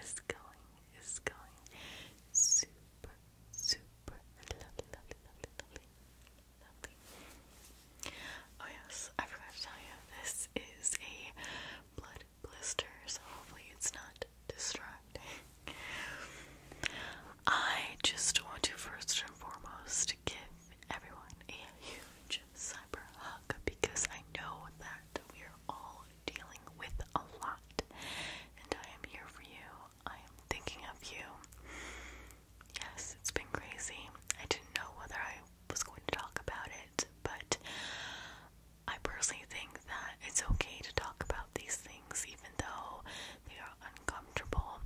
is going is going super super Oh yes, I forgot to tell you this is a blood blister, so hopefully it's not distracting. I just want to first and foremost give everyone a huge cyber hug because I know that we are all dealing with a lot, and I am here for you. I am thinking of you. Yes, it's been crazy. I didn't know whether I was going to talk about it, but I personally think that it's okay to talk about these things, even though they are uncomfortable.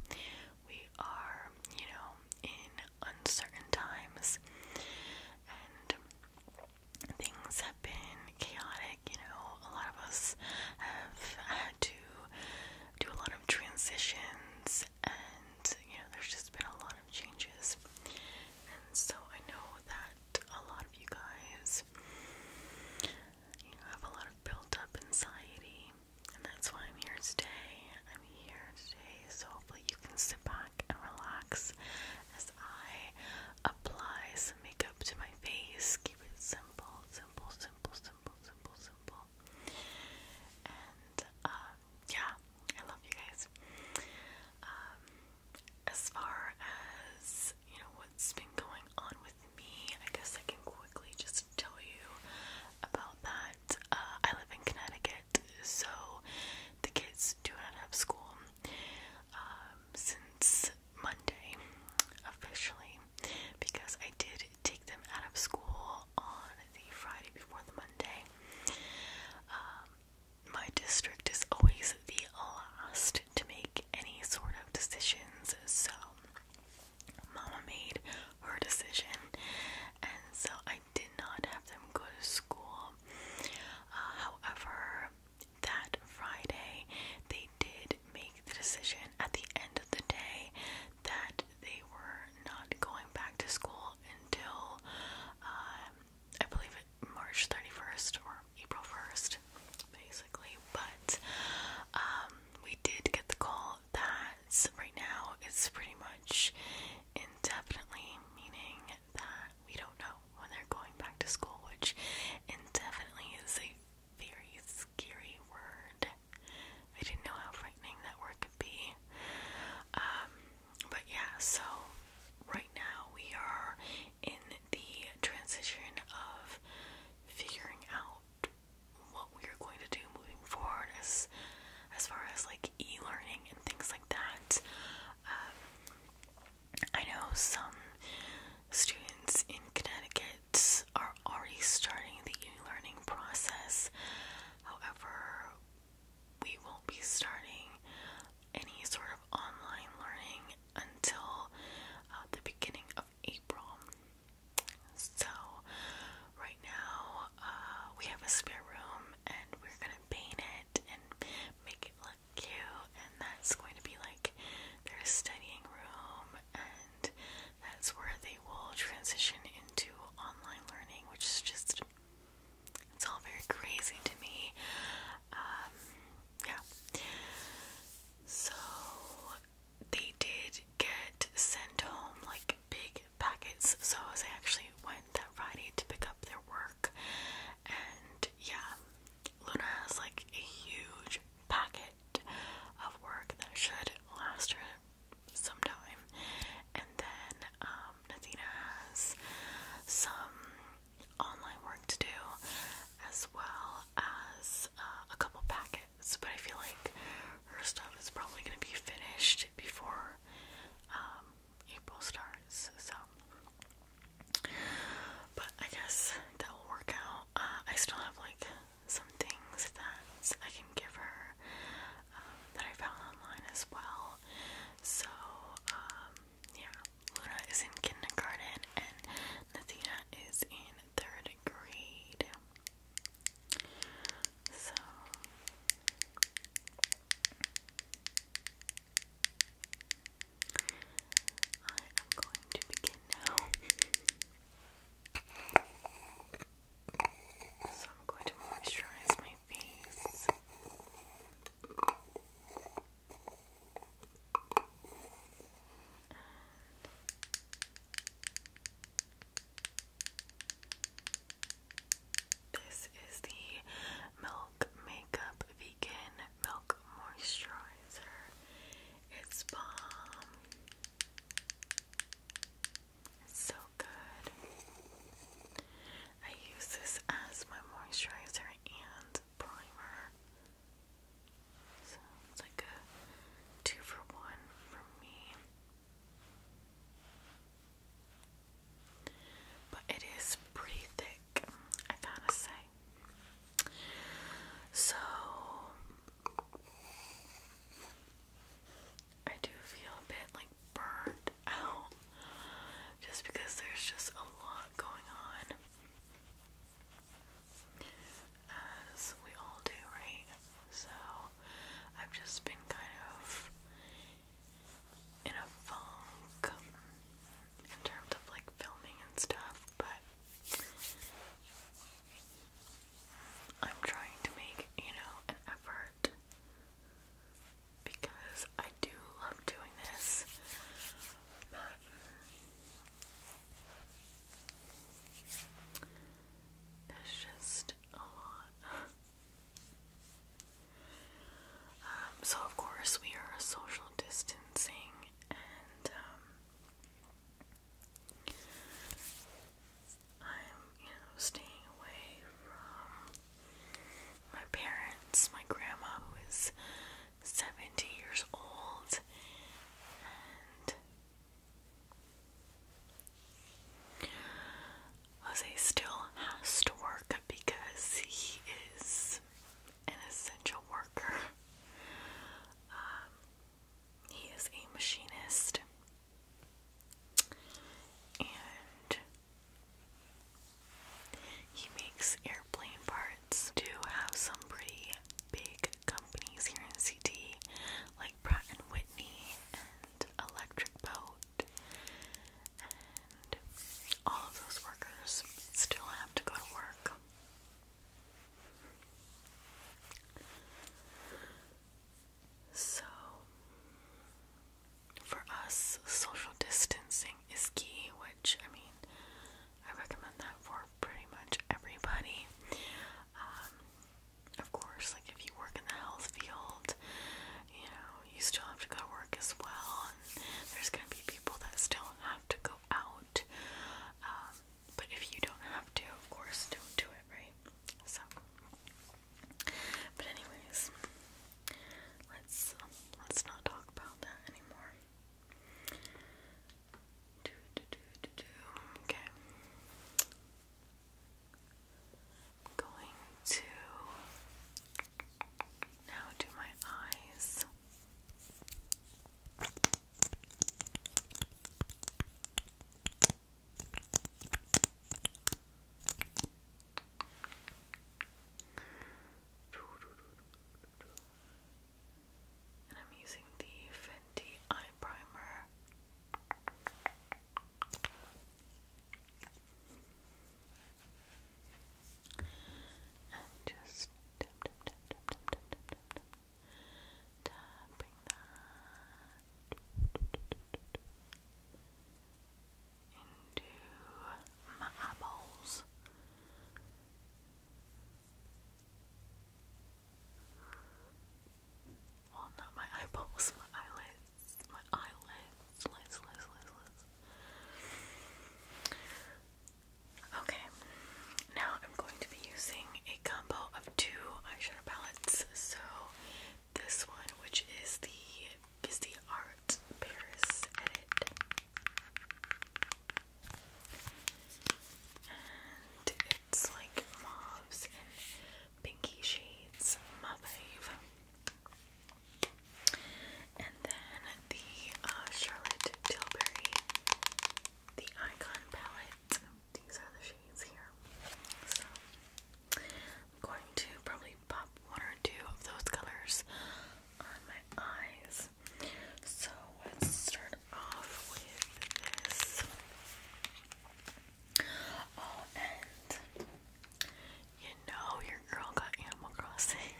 We are, you know, in uncertain times, and things have been chaotic, you know, a lot of us have had to do a lot of transitions and you know, there's just been a lot of changes. And so I know that a lot of you guys have a lot of built up anxiety and that's why I'm here today. I'm here today so hopefully you can sit back and relax as I apply some makeup to my face. Keep it simple, simple, simple, simple, simple, simple. And uh, yeah, I love you guys. Um, as far as you know, what's been going on with me, I guess I can quickly just tell you about that. Uh, I live in Connecticut, so the kids do not have school. Um, since Monday officially because I did take them out of school on the Friday before the Monday. Um, my district is always the last to make any sort of decisions, so Mama made her decision, and so I did not have them go to school. Uh, however, that Friday, they did make the decision at the end of the day that they were not going back to school until um, I believe March 31st or April 1st, basically. But um, we did get the call that right now it's pretty much indefinitely, meaning that we don't know when they're going back to school, which definitely is a very scary word. I didn't know how frightening that word could be. Um, but yeah, so right now we are in the transition of figuring out what we are going to do moving forward as as far as like e-learning and things like that. Um, I know some students in Connecticut are already starting the e learning process. However, we won't be starting any sort of online learning until uh, the beginning of April. So, right now, uh, we have a spare room and we're gonna paint it and make it look cute, and that's going to be like their studying room, and that's where they will transition into online learning, which is just it's all very crazy to me. Um, yeah. So they did get sent home like big packets. So I actually went that Friday to pick up their work, and yeah, Luna has like a huge packet of work that should last her some time, and then um, has some online work to do, as well as uh, a couple packets. But I feel like her stuff is probably going to be finished before um, April starts, so. But I guess that will work out. Uh, I still have like some things that I can give her um, that I found online as well. So, um, yeah, Luna is in kindergarten and Nathina is in third grade. So. I am going to begin now. So I'm going to moisturize my face. this is the Milk Makeup Vegan Milk Moisturizer. It's bomb. It's so good. I use this as my moisturizer and primer. So it's like a two for one for me. But it is pretty thick, I gotta say. So I do feel a bit like burned out just because there's just a lot going on. As we all do, right? So I've just been kind of in a funk in terms of like filming and stuff, but I'm trying to make, you know, an effort because I do love doing this. But there's just a lot. Um, so, of course, we are social distancing and um, I'm, you know, staying away from my parents, my grandma, who is 70 years old, and Jose still has to work because he is an essential worker. Um, he is a machinist, and he makes airplane parts. Do have some pretty big companies here in CT, like Pratt and Whitney and Electric Boat and all of those workers still have to go to work. So, for us, social distancing is key, which I mean, I recommend that for pretty much everybody. Um, of course, like if you work in the health field, you know, you still have to go to work as well, there's going to be people that still have to go out. Um, but if you don't have to, of course, don't do it, right? So, but anyways, let's um, let's not talk about that anymore. Okay. going to now to my eyes. And I'm using the Fenty Eye Primer. And just Tapping that into my eyeballs. Well, not my eyeballs, my eyelids, my eyelids. Slice, slice, slice, slice. Okay, now I'm going to be using a combo of two eyeshadow palettes. So, this one, which is the Busy Art Paris Edit, and it's like mauves and pinky shades, my and then the uh, Charlotte Tilbury, the Icon palette. These are the shades here. So I'm going to probably pop one or two of those colors on my eyes. So let's start off with this. Oh, and you know your girl got Animal Crossing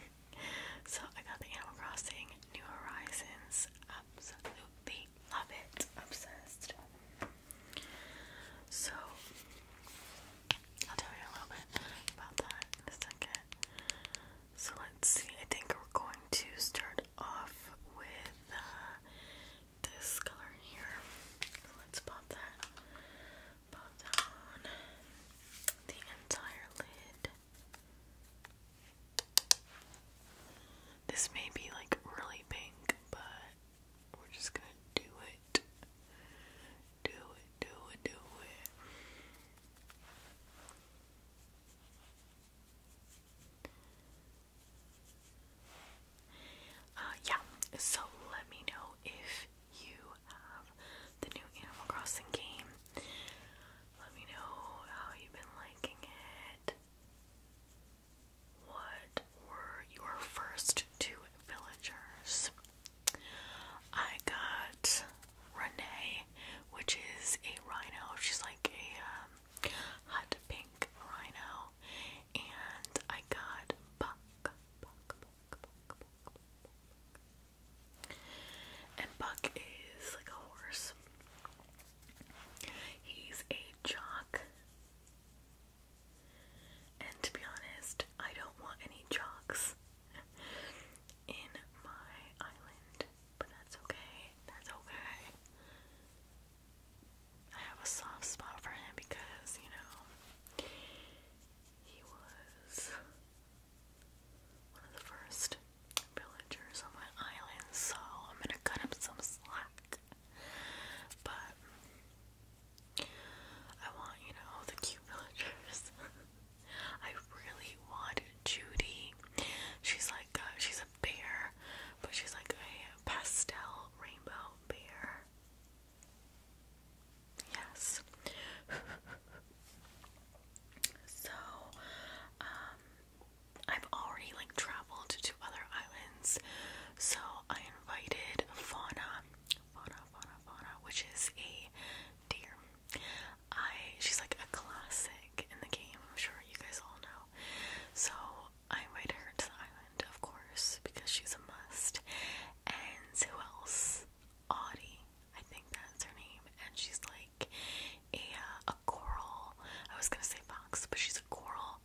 so I got the Animal Crossing New Horizons. Absolutely love it. Obsessed. So I'll tell you a little bit about that in a second. So let's see. I think we're going to start off with uh, this color here. let's pop that pop down the entire lid. This may be like really pink, but we're just gonna do it. Do it, do it, do it. Uh, yeah, so let me know if you have the new Animal Crossing game. Let me know how you've been liking it. What were your first two villagers? I got Renee, which is a rhino. She's like a um, hot pink rhino. And I got Buck, and Buck is like a horse. He's a jock. And to be honest, I don't want any jocks in my island. But that's okay. That's okay. I have a soft spot for him because, you know, he was one of the first villagers on my island, so I'm gonna cut him some slack. But I want, you know, the cute villagers. I really want Judy. She's like, uh, she's a bear, but she's like a pastel rainbow bear. Yes. so, um, I've already like traveled to other islands. So I invited Fauna, Fauna, Fauna, Fauna, which is a deer. I she's like a classic in the game. I'm sure you guys all know. So I invited her to the island, of course, because she's a must. And who else? Audie, I think that's her name, and she's like a uh, a coral. I was gonna say fox, but she's a coral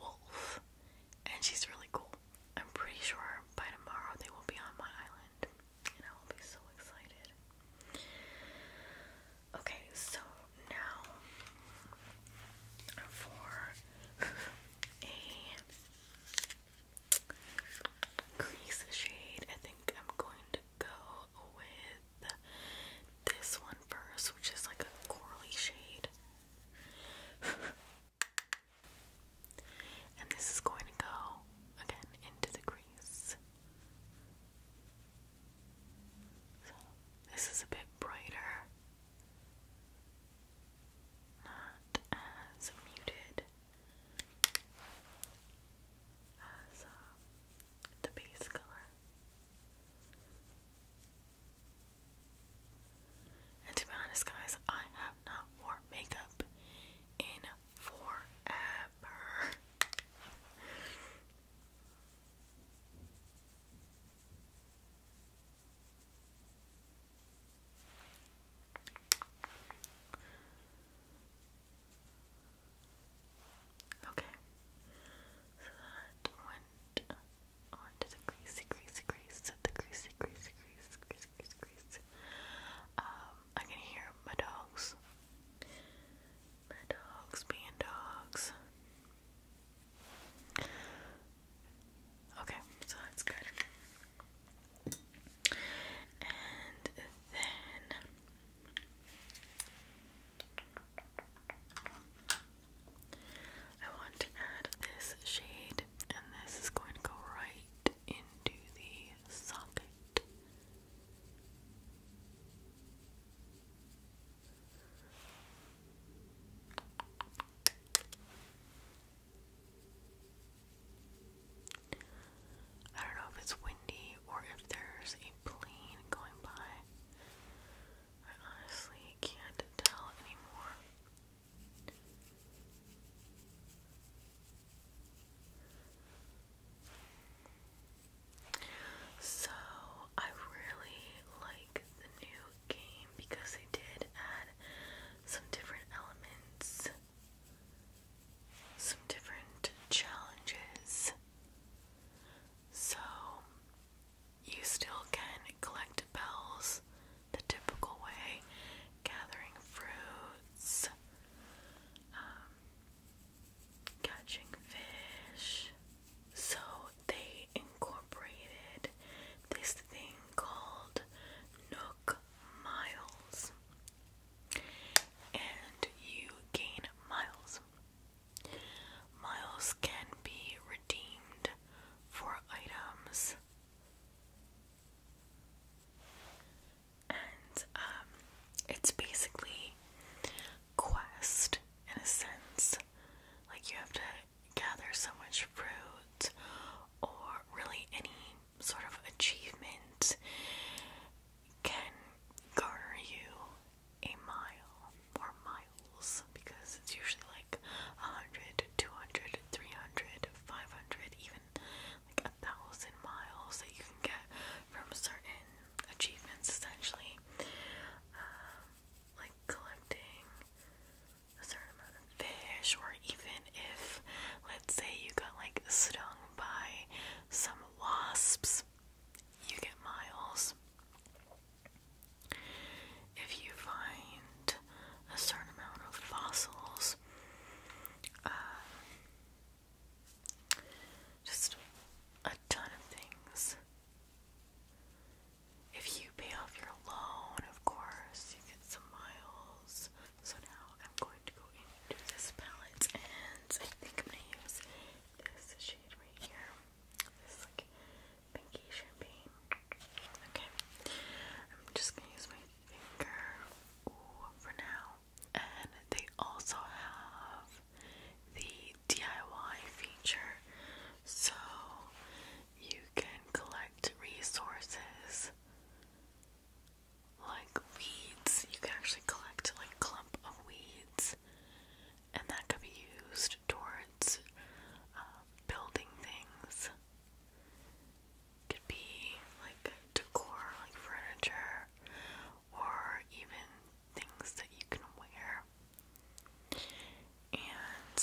wolf, and she's really cool. I'm pretty sure by tomorrow they will be on my island, and I will be so excited. Okay, so now for a crease shade. I think I'm going to go with this one first, which is like a corally shade. and this is going to go again into the crease. So this is a bit brighter, not as muted as um, the base color. And to be honest, guys, I have not worn makeup in forever. Okay, so that went on to the greasy, greasy, grease, the greasy, greasy, grease, greasy, greasy, grease. Um, I can hear my dogs, my dogs being dogs. Okay, so that's good. And then I want to add this shade, and this is going to go right into the socket. I don't know if it's windy or if there's a plane going by. I honestly can't tell anymore. So, I really like the new game because they did add some different elements some different challenges. So, you still can collect bells the typical way, gathering fruits, um, catching fish. So, they incorporated this thing called Nook miles. And you gain miles. Miles can be redeemed for items. And um, it's basically quest in a sense. Like you have to gather so much fruit or really any sort of achievement can garner you a mile or miles because it's usually like 100, 200, even like a thousand miles that you can get from certain achievements essentially. Um, like collecting a certain amount of fish, or even if, let's say, you got like stung by some wasps, you get miles. If you find a certain amount of fossils, uh, just a ton of things. If you pay off your loan, of course, you get some miles. So now I'm going to go into this palette and I think I'm gonna use this shade right here. This is like pinky champagne. Okay. I'm just gonna use my finger for now. And they also have the DIY feature. So you can collect resources like weeds. You can actually collect like a clump of weeds, and that could be used towards uh, building things. could be like decor, like furniture, or even things that you can wear. And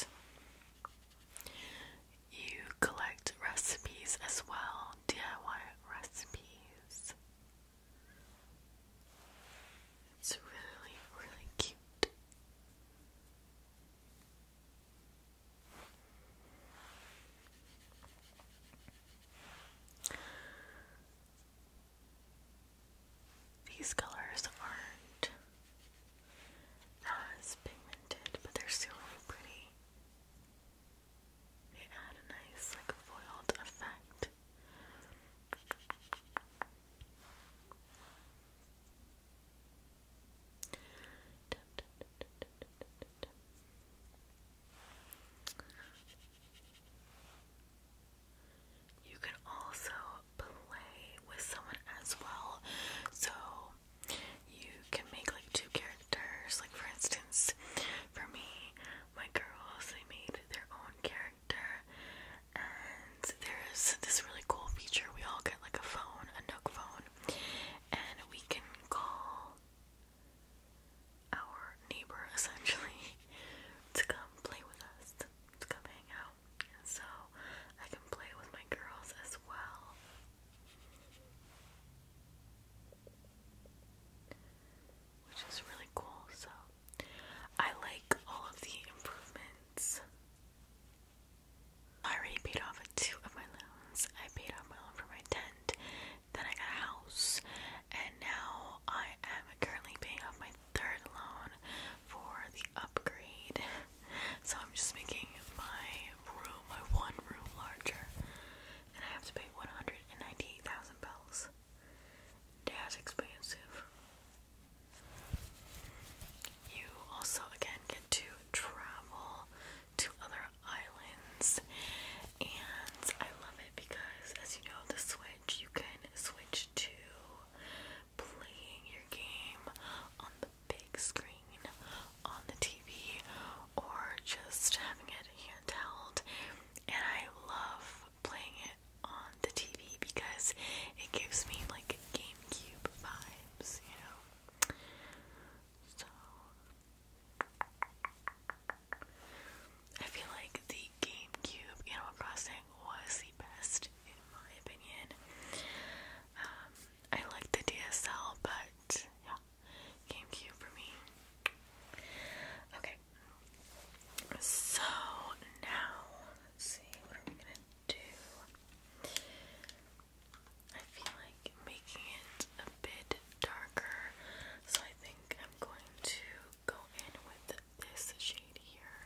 you collect recipes as well, DIY recipes. It's really, really cute. These colors aren't as uh, pigmented, but they're still really pretty. They add a nice, like, foiled effect. You can also play with someone as well. So you can make like two characters. Like for instance, for me, my girls they made their own character, and there's this really cool feature. We all get like a phone, a Nook phone, and we can call our neighbor essentially to come play with us, to come hang out. so I can play with my girls as well. Which is really cool, so I like all of the improvements. I already paid off two of my loans. I paid off my loan for my tent, then I got a house, and now I am currently paying off my third loan for the upgrade. so I'm just making my room, my one room, larger, and I have to pay 198,000 bells. That's expensive. You also again get to travel to other islands, and I love it because, as you know, the Switch you can switch to playing your game on the big screen on the TV or just having it handheld, and I love playing it on the TV because it gives me like GameCube vibes, you know. So I feel like the GameCube Animal Crossing was the best in my opinion. Um, I like the DSL, but yeah, GameCube for me. Okay, so now let's see what are we gonna do. I feel like making it a bit darker, so I think I'm going to go in with this shade here,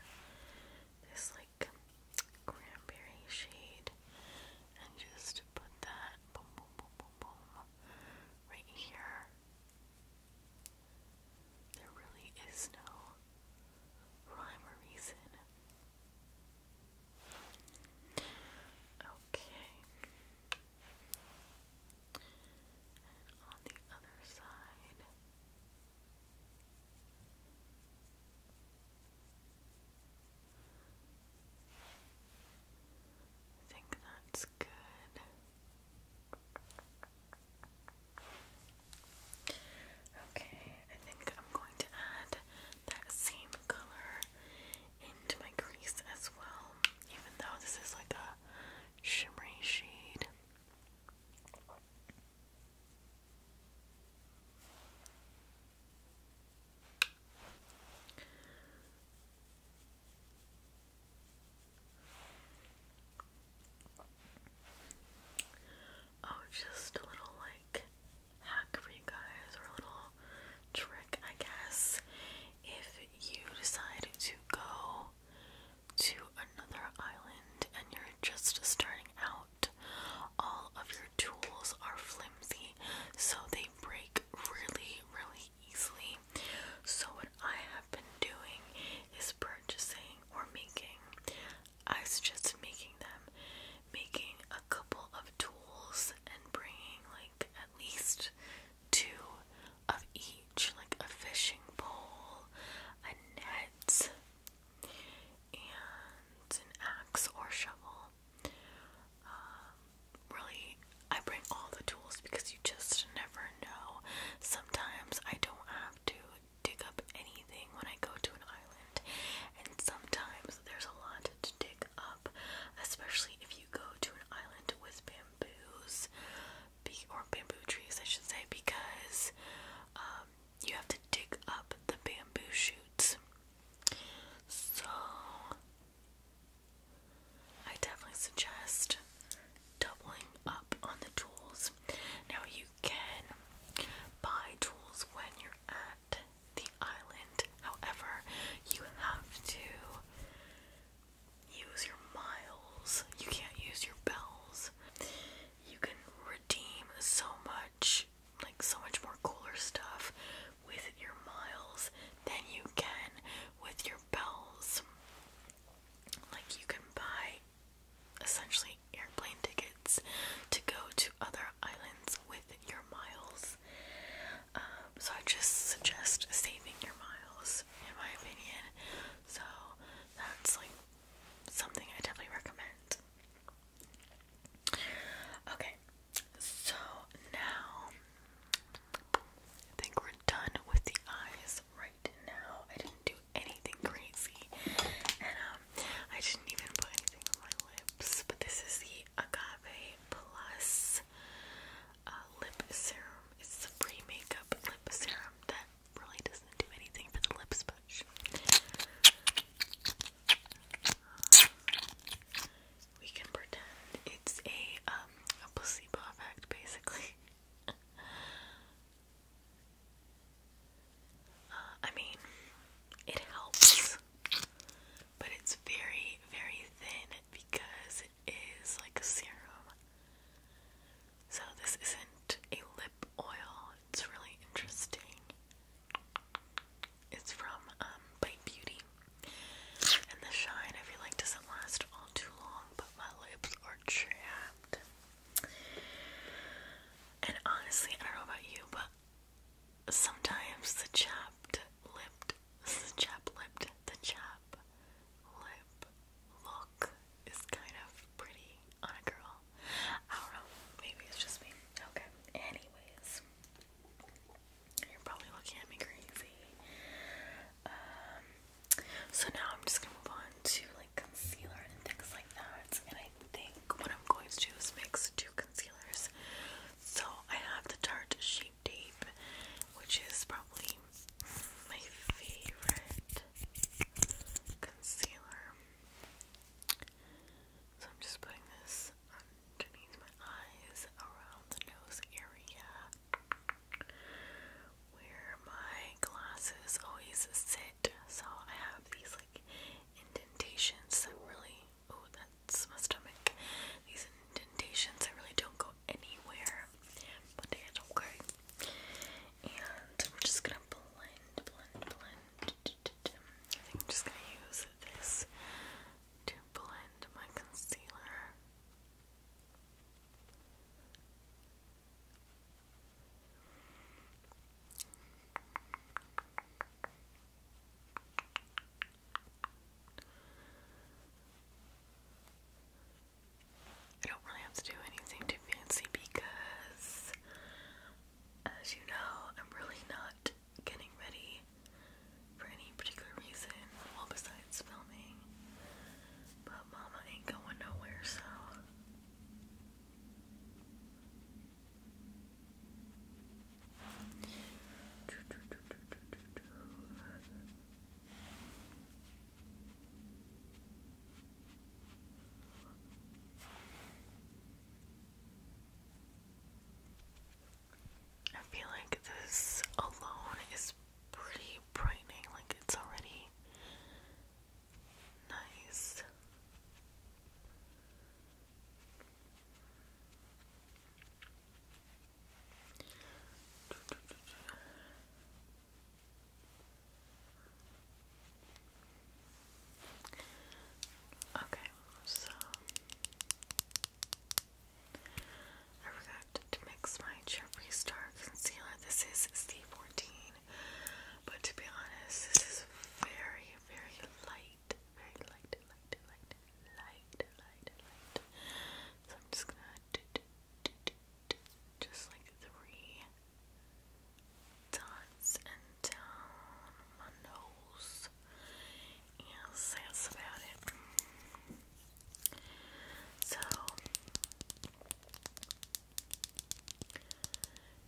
this like cranberry shade, and just put that right here. There really is no rhyme or reason. Okay. on the other side. I think that's good. Okay, I think I'm going to add that same color into my crease as well, even though this is like a shimmery shade. Oh, just a little like hack for you guys, or a little trick, I guess. If you decide to go to another island and you're just starting out all of your tools are flimsy, so they break really, really easily. So, what I have been doing is purchasing or making, I suggested making them, making a couple of tools and bringing like at least two of each, like a fishing pole, a nets and an axe or shovel. Um, really, I bring all the tools because you just never know. Sometimes I don't have to dig up anything when I go to an island, and sometimes there's a lot to dig up, especially if you go to an island with bamboos or bamboo trees, I should say, because um, you have to dig up the bamboo shoots. So I definitely suggest doubling up on the tools. Now you can buy tools when you're at the island. However, you have to use your miles. You can't use your bells. You can redeem so much like so much more cooler stuff with your miles than you can with your bells. Like you can buy essentially airplane tickets to go to other islands with your miles. Um, so I just suggest saving your miles, in my opinion. So that's like something I definitely recommend. Okay, so now I think we're done with the eyes right now. I didn't do anything crazy, and um, I didn't even put anything on my lips. But this is the Agave Plus uh, Lip Serum. It's the pre makeup lip serum that really doesn't do anything for the lips, but. We can pretend it's a um, placebo effect basically. Uh, I mean, it helps, but it's very very thin because it is like a serum. So this isn't a lip oil. It's really interesting. It's from um, Bite Beauty. And the shine, I feel like, doesn't last all too long, but my lips are chapped. And honestly, I don't know about you, but sometimes the chapped lipped, the chap the chap lip look is kind of pretty on a girl. I don't know. Maybe it's just me. Okay. Anyways. You're probably looking at me crazy. Um, so now I'm just gonna move on to like concealer and things like that. And I think what I'm going to do is mix two concealers. So I have the Tarte Sheet Tape, which is probably my favorite concealer. So I'm just putting this underneath my eyes, around the nose area, where my glasses always sit. So I have these like indentations that really, oh, that's my stomach. These indentations that really don't go anywhere, but they okay. And we're just gonna blend, blend, blend. I think I'm just going to use this to blend my concealer. I don't really have to do anything too fancy because, as you know, I'm really not getting ready for any particular reason, well, besides filming. But Mama ain't going nowhere, so. I feel like this alone is pretty brightening, like it's already nice. Okay, so I forgot to mix my Jeffree Star concealer. This is C14, but to be honest, this is very, very light, very light, light, light, light, light, So I'm just gonna just like three dots and down my nose. Yes, that's about it. So,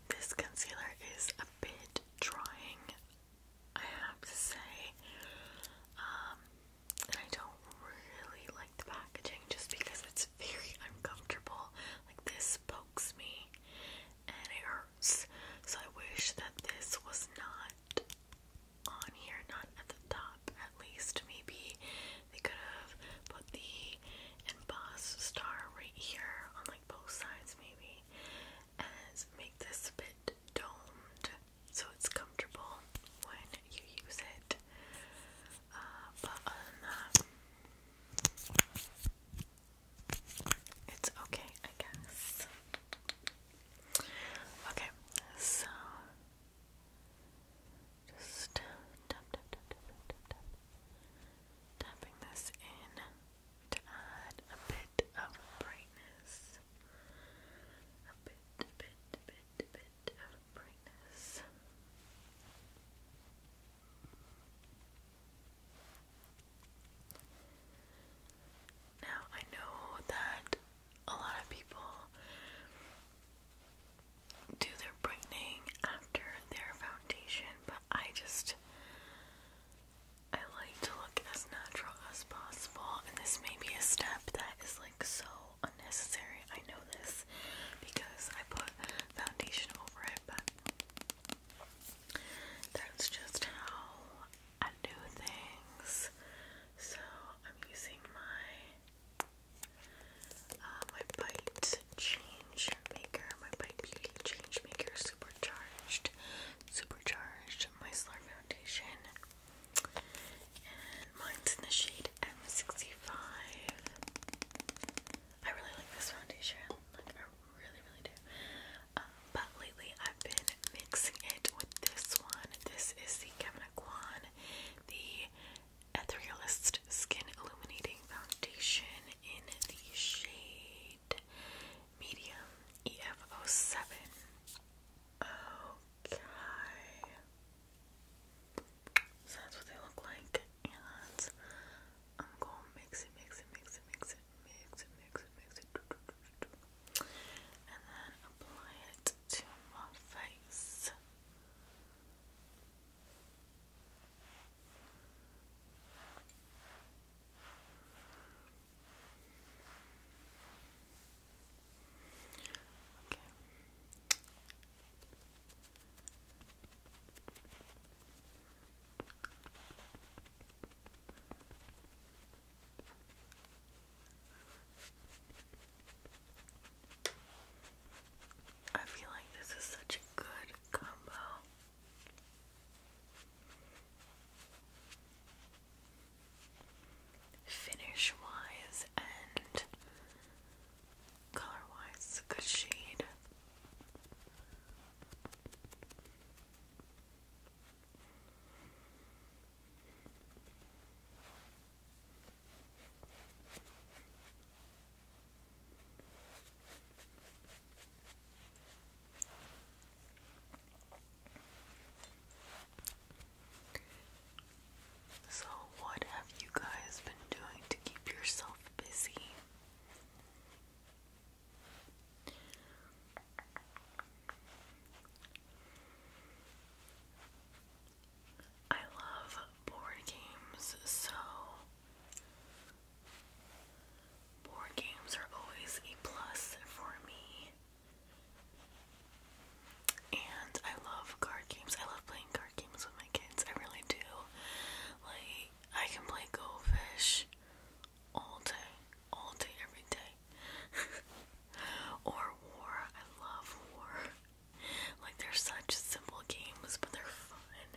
this concealer is a bit drying, I have to say. Um, and I don't really like the packaging just because it's very uncomfortable. Like, this pokes me and it hurts. So I wish that this was not on here, not at the top at least. Maybe they could have put the embossed star right here on like both sides, maybe, and make this a bit domed so it's comfortable when you use it. Uh, but other than that, it's okay, I guess. Okay, so just tapping this in to add a bit of brightness. A bit, a bit, a bit, a bit of brightness. Now, I know that a lot of people do their brightening after their foundation, but I just I like to look as natural as possible, and this may be a step that is like so unnecessary. I know this because I put foundation over it but that's just how I do things. So I'm using my uh, my Bite Change Maker, my Bite Beauty Change Maker Supercharged, Supercharged Slur Foundation, and mine's in the shade M65. I really like this foundation really, really do. Um, but lately I've been mixing it with this one. This is the Kevin Aquan, the Etherealist Skin Illuminating Foundation in the shade Medium EF07. Okay. So that's what they look like. And I'm going mix it, mix it, mix it, mix it mix it, mix it, mix it, and then apply it to my face. Okay. I feel like this is such a good combo. Finish wise and color wise, it's a good shade. So, what have you guys been doing to keep yourself busy? I love board games, so board games are always a plus for me. And I love card games. I love playing card games with my kids. I really do. Like, I can play Goldfish all day, all day, every day. or war. I love war. Like they're such simple games, but they're fun.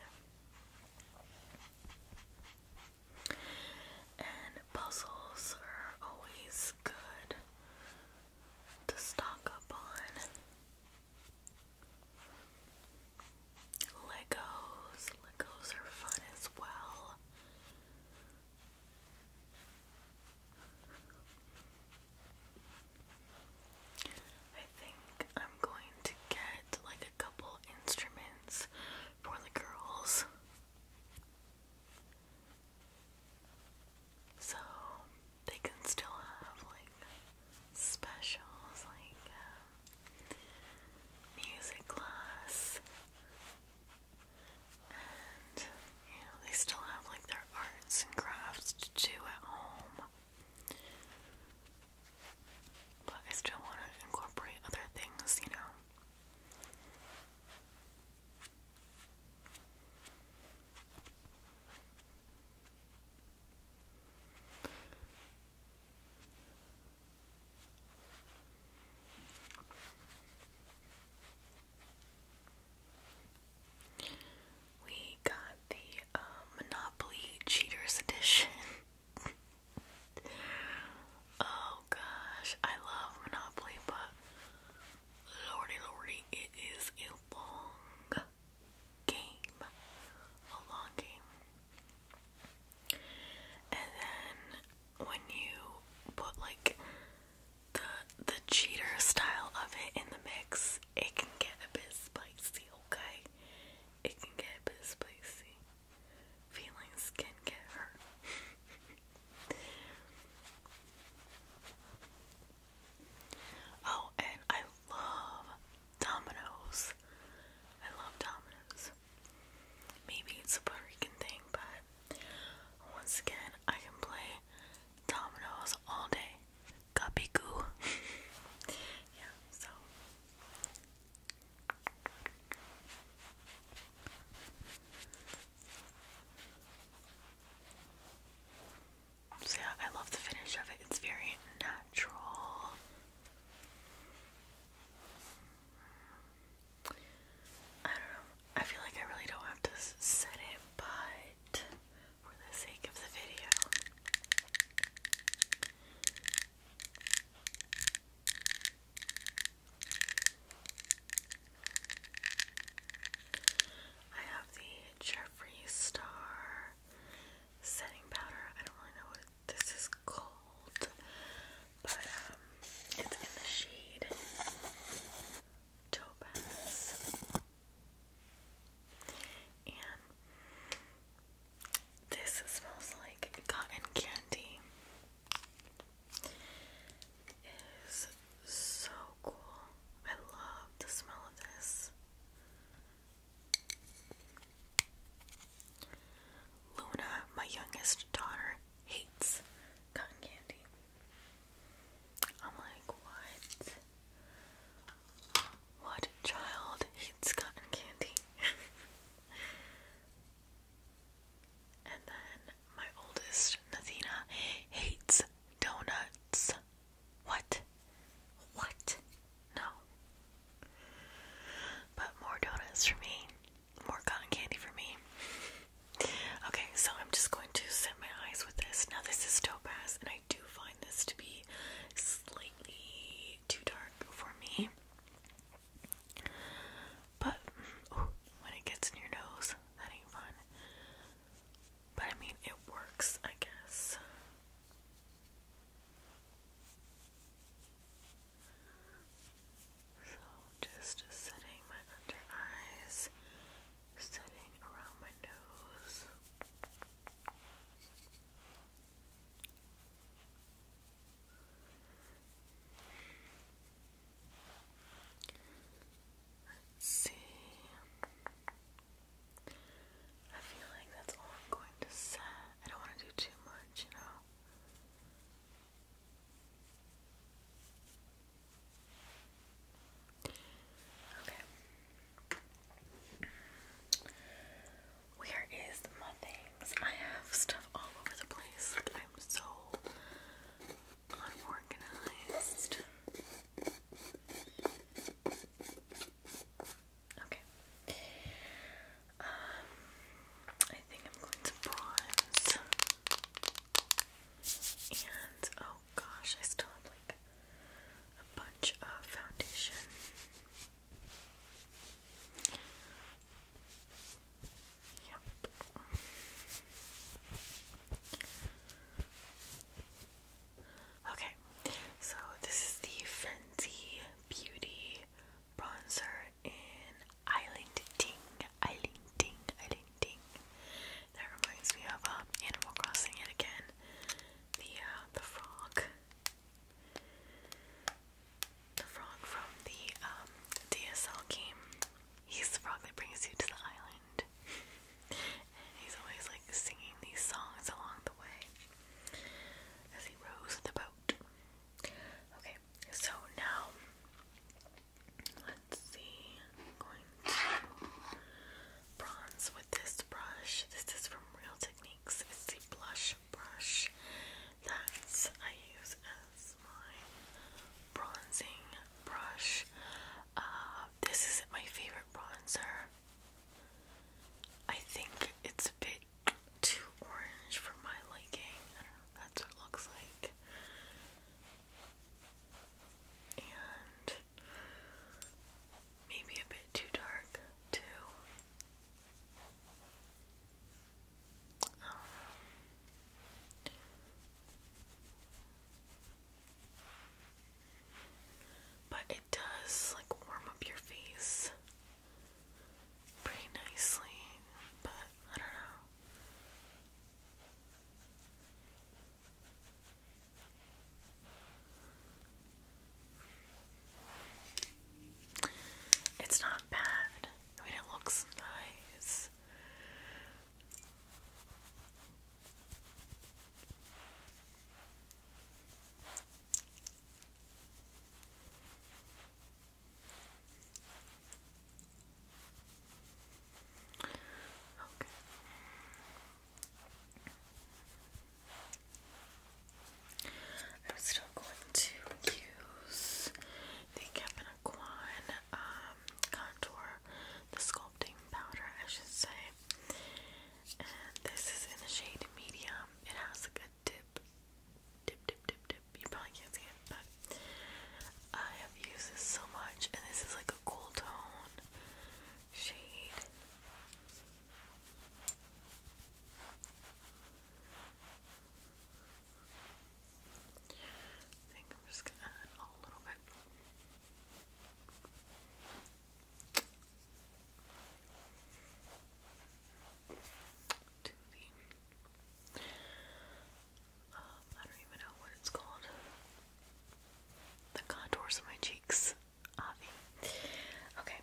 And puzzles are always good to stock up on. Legos. Legos are fun as well. I think I'm going to get like a couple instruments for the girls. So they can still have like specials like music class. And, you know, they still have like their arts and crafts to do at home. But I still want to incorporate other things, you know. We got the uh, Monopoly Cheaters Edition. oh gosh, I love Monopoly, but lordy lordy, it is a long game. A long game. And then when you put like the the cheater style of it in the mix, it can get a bit spicy, okay? It can get a bit spicy. Feelings can get hurt. oh, and I love Domino's. I love Domino's. Maybe it's a Puerto Rican thing, but once again, I can play dominoes all day. Guppy yeah, so. So yeah, I love the finish of it. It's very natural. I don't know. I feel like I really don't have to set it, but for the sake of the video. I have the Jeffree Star setting powder. I don't really know what this is cold, but um, it's in the shade Topaz. And this smells like cotton candy. It is so cool. I love the smell of this. Luna, my youngest daughter, hates cotton candy. I'm like, what? What child hates cotton candy? and then my oldest, Nathina, hates donuts. What? What? No. But more donuts for me. More cotton candy for me. okay, so I'm just going to set my eyes with this. Now, this is topaz, and I do find this to be slightly too dark for me. But when it gets in your nose, that ain't fun. But I mean, it works, I guess. So just setting my under eyes, setting around my nose. Let's see. I feel like that's all I'm going to set. I don't want to do too much much, you Where is my things? I have stuff all over the place. I'm so unorganized. Okay. Um, I think I'm going to bronze. And oh gosh, I still have like a bunch of foundation. Yep. Okay, so this is the Fenty Beauty bronzer in Island Ting, Island Ting, Island Ting. That reminds me of uh, Animal Crossing yet again. The uh, the frog, the frog from the um, DSL game. He's the frog that brings you to the island, and he's always like singing these songs along the way as he rows the boat. Okay, so now let's see. i with this brush. This is from Real Techniques. It's the blush brush that I use as my bronzing brush. Uh, this isn't my favorite bronzer. I think it's a bit too orange for my liking. that's what looks like. And maybe a bit too dark, too. but it does like warm up your face pretty nicely, but I don't know. It's not bad. I mean, it looks nice. Okay. I'm still going to use the Kevin Aquan um, contour, the sculpting powder, I should say. And this is in the shade medium. It has like a dip dip, dip, dip, dip. You probably can't see it, but I have used this so much, and this is like a cool tone shade. I think I'm just gonna add a little bit to um, the I don't even know what it's called. The contours of my cheeks. Okay.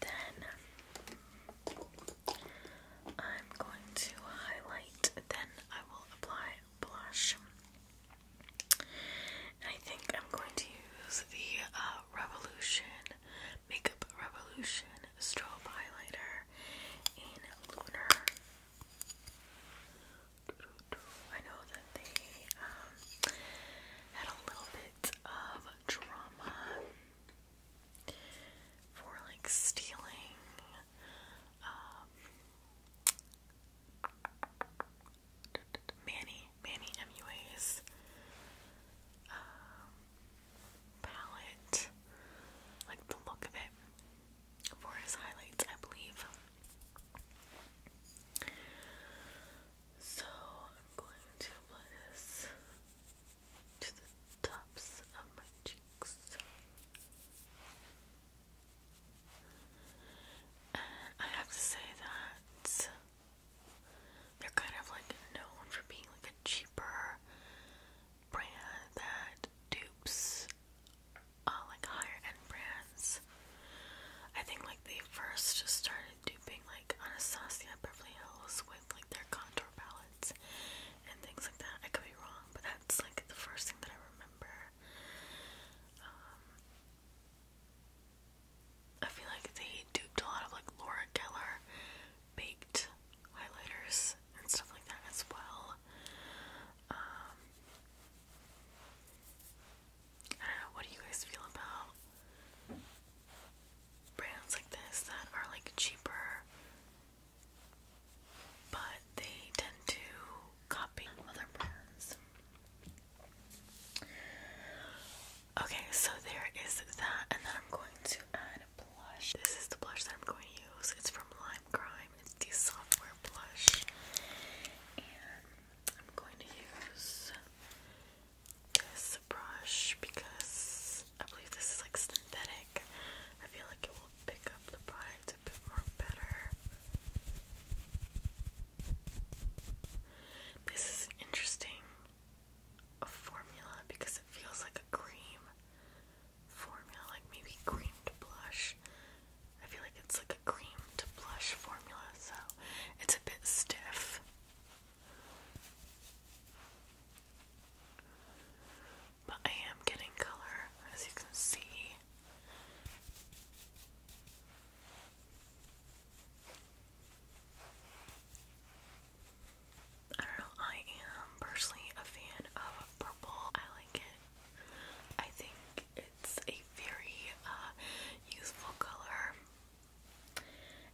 Then I'm going to highlight, then I will apply blush. I think I'm going to use the uh, Revolution Makeup Revolution Strobe Highlighter in Lunar. I know that they um, had a little bit of drama for like stealing um, Manny, Manny MUA's um, palette, like the look of it for his highlights, I believe. So I'm going to apply this to the tops of my cheeks. And I have to say that they're kind of like known for being like a cheaper brand that dupes uh, like higher end brands. I think like they first just started duping like Anastasia Beverly Hills with like their contour palettes and things like that. I could be wrong, but that's like the first thing that I remember. Um, I feel like they duped a lot of like Laura Geller baked highlighters and stuff like that as well. Um, what do you guys feel about brands like this that are like cheaper but they tend to copy other brands? Okay, so there is that, and then I'm going to add blush. This is the blush that I'm going to use. It's from Lime Crime. It's the software blush, and I'm going to use this brush because I believe this is like synthetic. I feel like it will pick up the product a bit more better. This is an interesting formula because it feels like a cream formula, like maybe cream to blush. I feel like it's like a cream to blush formula, so it's a bit stiff. But I am getting color, as you can see. I don't know, I am personally a fan of purple. I like it. I think it's a very useful uh, color.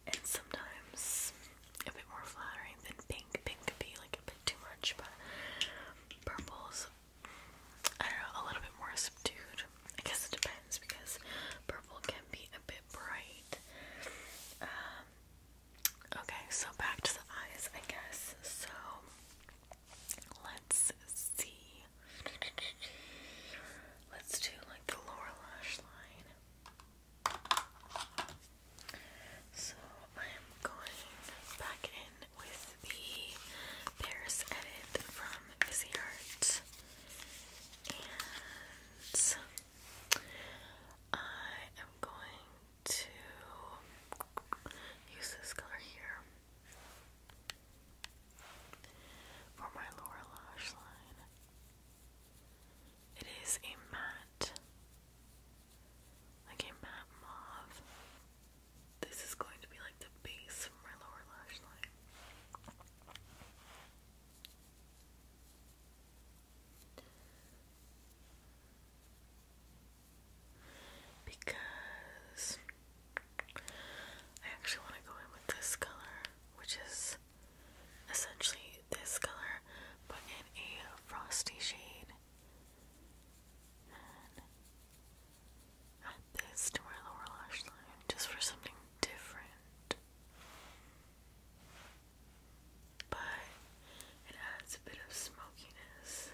And sometimes a bit more flattering than pink. Pink could be like a bit too much, but purple's, I don't know, a little bit more subdued. I guess it depends because purple can be a bit bright. Um, okay, so back to the eyes, I guess. So let's see. Let's do like the lower lash line. So I'm going back in with the Paris edit from Busy Art. I am going to use this color here for my lower lash line. It is a matte, like a matte mauve. This is going to be like the base for my lower lash line. Because I actually want to go in with this color, which is essentially this color, but in a frosty shade. add this to my lower lash line just for something different. But it adds a bit of smokiness.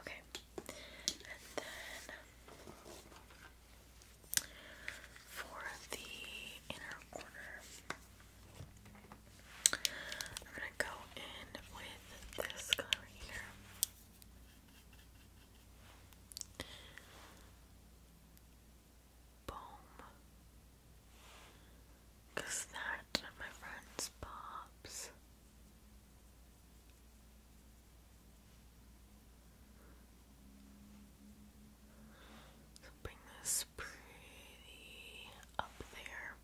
Okay, and then for the inner corner, I'm going to go in with with this color that my friends pops. bring this pretty up there.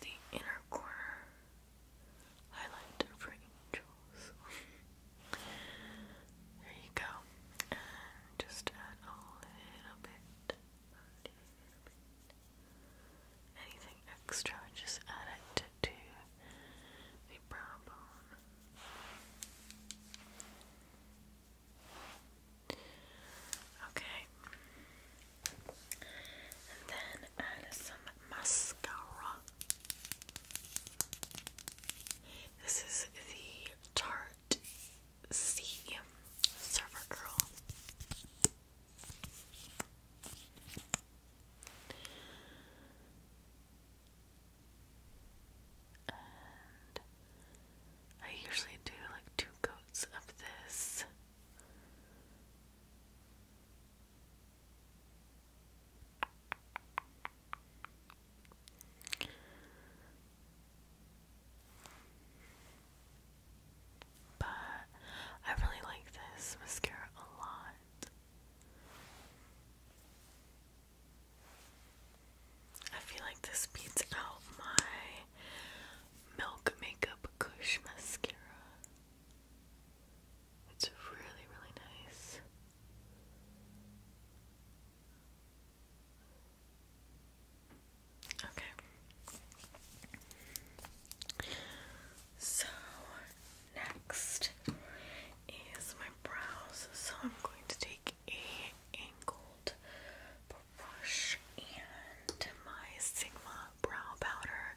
The inner corner highlighter for angels. there you go. just add a little bit. Anything extra, just add it to the brow bone Okay. And then add some mascara. This is the Tarte C Server Girl. I usually do like two coats of this. But I really like this mascara a lot. I feel like this beats out my Milk Makeup Kush Mascara. It's really, really nice. Okay. So, next is my brows. So I'm going to take a angled brush and my Sigma brow powder.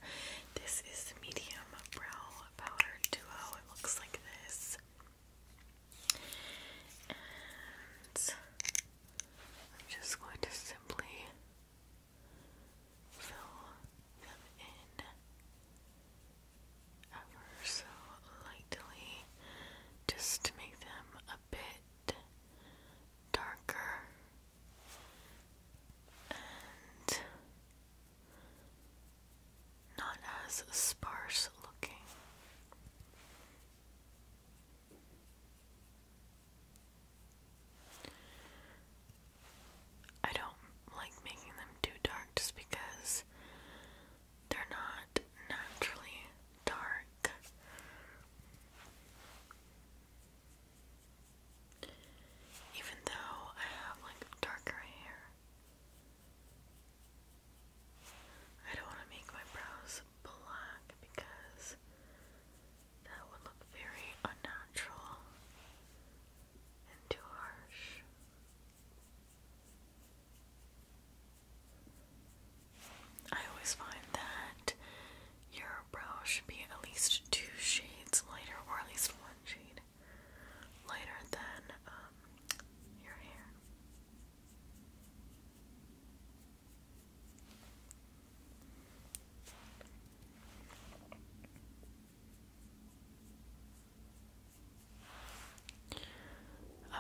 This is medium brow powder duo. It looks like this. And I'm just going to simply fill them in ever so lightly just to make them a bit darker and not as sparse looking. I don't like making them too dark just because they're not naturally dark. Even though I have like darker hair, I don't want to make my brows black because that would look very unnatural and too harsh. I always find that your brow should be at least two shades lighter, or at least one shade lighter than um, your hair.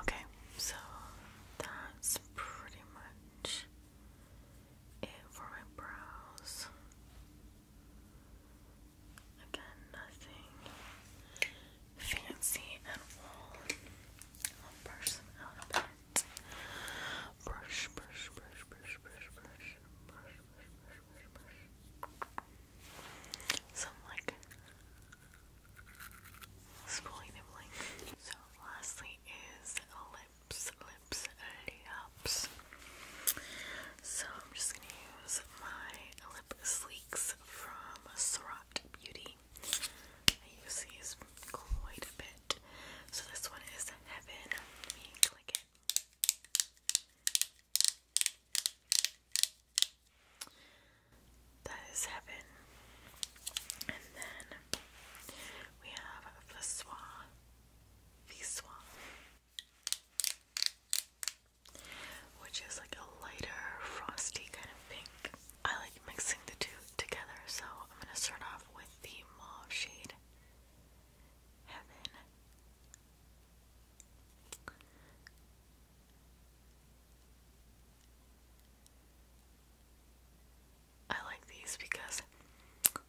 Okay, so that's pretty much it for my brows. Again, nothing fancy at all. brush, brush, brush, brush, brush, brush, brush, brush, brush, brush, So I'm like spooling him So lastly is lips, lips, lips. So I'm just gonna use my lip sleeks from Surratt Beauty. I use these quite a bit. So this one is Heaven. click it. That is heaven. And then we have Viswa. Viswa. Which is like a lighter, frosty kind of pink. I like mixing the two together, so I'm gonna start off with the mauve shade Heaven. I like these because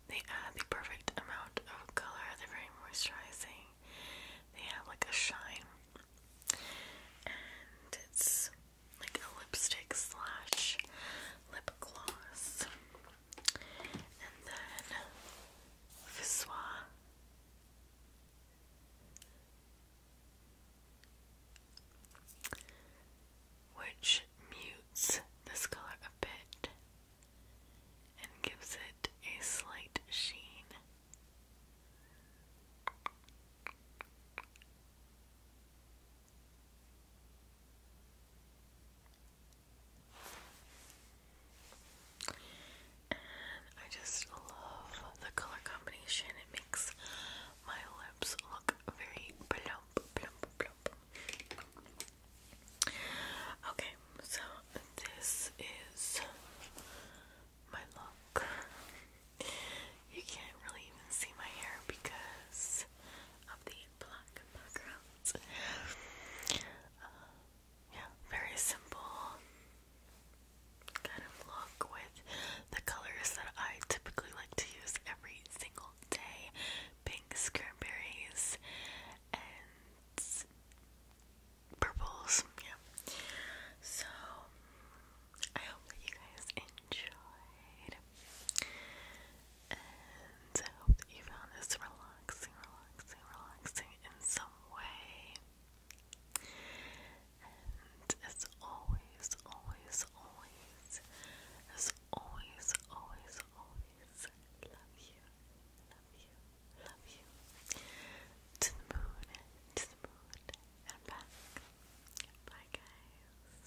they add the perfect amount of color. They're very moisturizing. They have like a shine. And it's like a lipstick slash lip gloss. And then Viswa which mutes this color a bit and gives it a slight sheen. I just love the color combination. It makes my lips look very plump, plump, plump. Okay, so this is my look. You can't really even see my hair because of the black background. Uh, yeah, very simple kind of look with the colors that I typically like to use every single day pinks, cranberries, and purples. Yeah. So, I hope that you guys enjoyed. And I hope that you found this relaxing, relaxing, relaxing in some way. And as always, always, always, as always, always, always, love you, love you, love you. To the moon, to the moon, and back. Bye, guys.